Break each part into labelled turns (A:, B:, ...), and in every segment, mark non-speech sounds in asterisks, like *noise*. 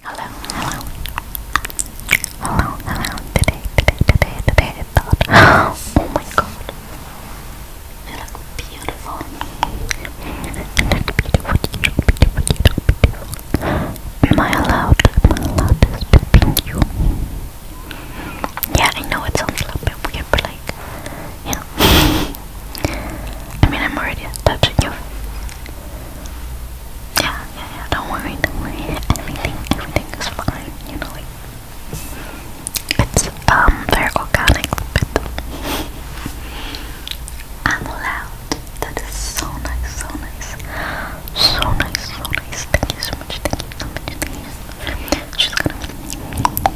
A: Hello, hello, hello, hello. Today, today, today, today I *gasps* oh my god, you look beautiful. You look beautiful, beautiful, beautiful, beautiful. Am I allowed, am I allowed this to pin you? Yeah, I know it sounds a little bit weird, but like, you *laughs* I mean, I'm already touching you. Yeah, yeah, yeah, don't worry, don't worry. Everything, everything is fine, you know, like it's um very organic but I'm loud. That is so nice, so nice. So nice, so nice. Thank you so much, thank you so much, She's gonna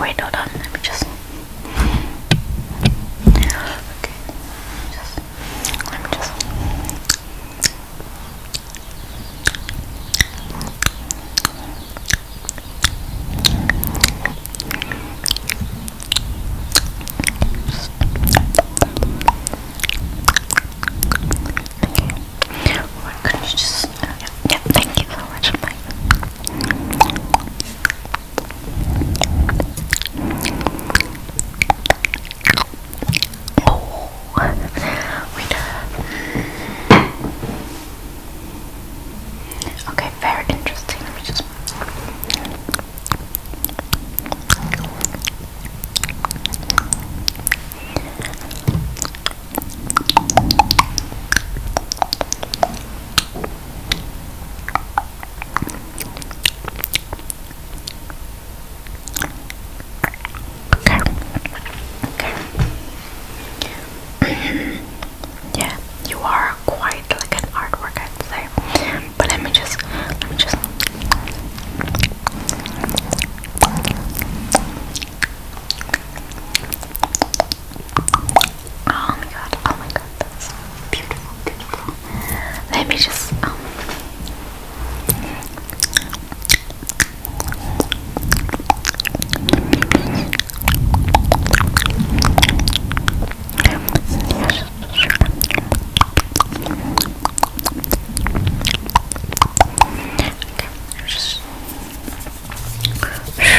A: Wait, hold on. Let me just. Okay. Just. Let me just. Oh thank you so much, Mike. Oh, okay, very interesting. Let me just. Okay. *laughs* yeah, you are quite like an artwork, I'd say. But let me just, let me just. Oh my god, oh my god, that's beautiful, beautiful. Let me just, um. Okay, just Okay.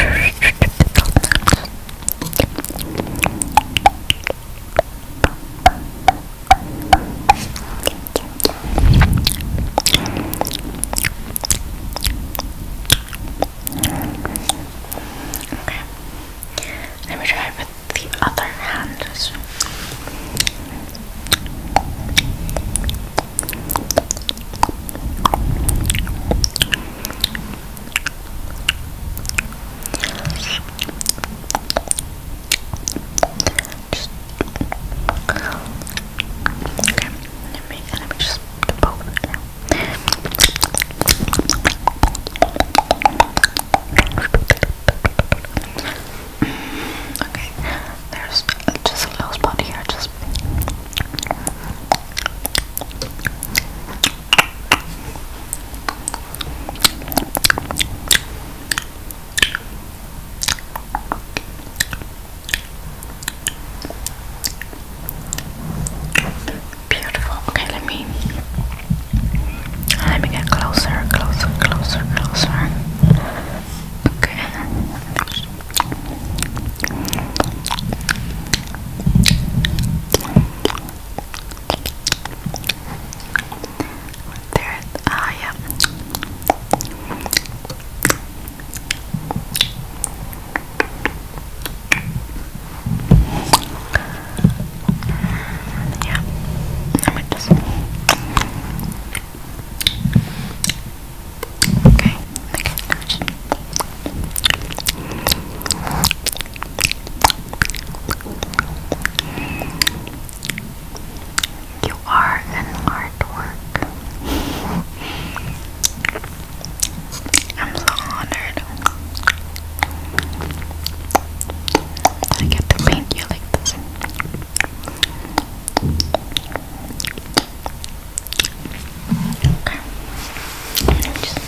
A: Let me try it with the other hand. okay,
B: let me let me just poke Okay, there's just a little spot here. Just beautiful. Okay, let me let me get closer, closer, closer, closer. Okay. There ah yeah. Yeah. I might just. Okay. You are an artwork. I'm so honored. I get to paint you like this. Okay. Just...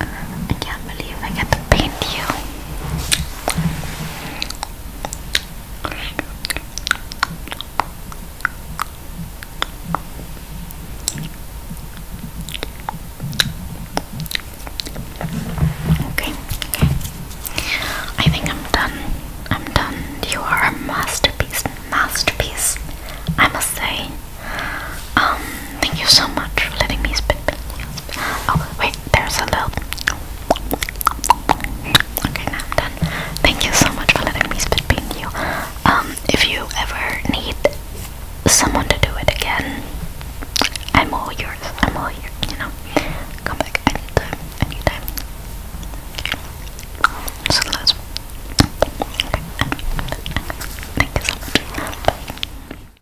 C: I can't believe I got to paint you. Okay, I think I'm done. I'm done. You are a masterpiece, masterpiece. I must say.
D: Um, thank you so much for letting me spit you. Oh, wait, there's
E: a little. Okay, now I'm done. Thank you so much for letting me spit you. Um, if you ever need someone to do it again, I'm all yours. I'm all yours, you know. Come back anytime, anytime. So let thank you so much.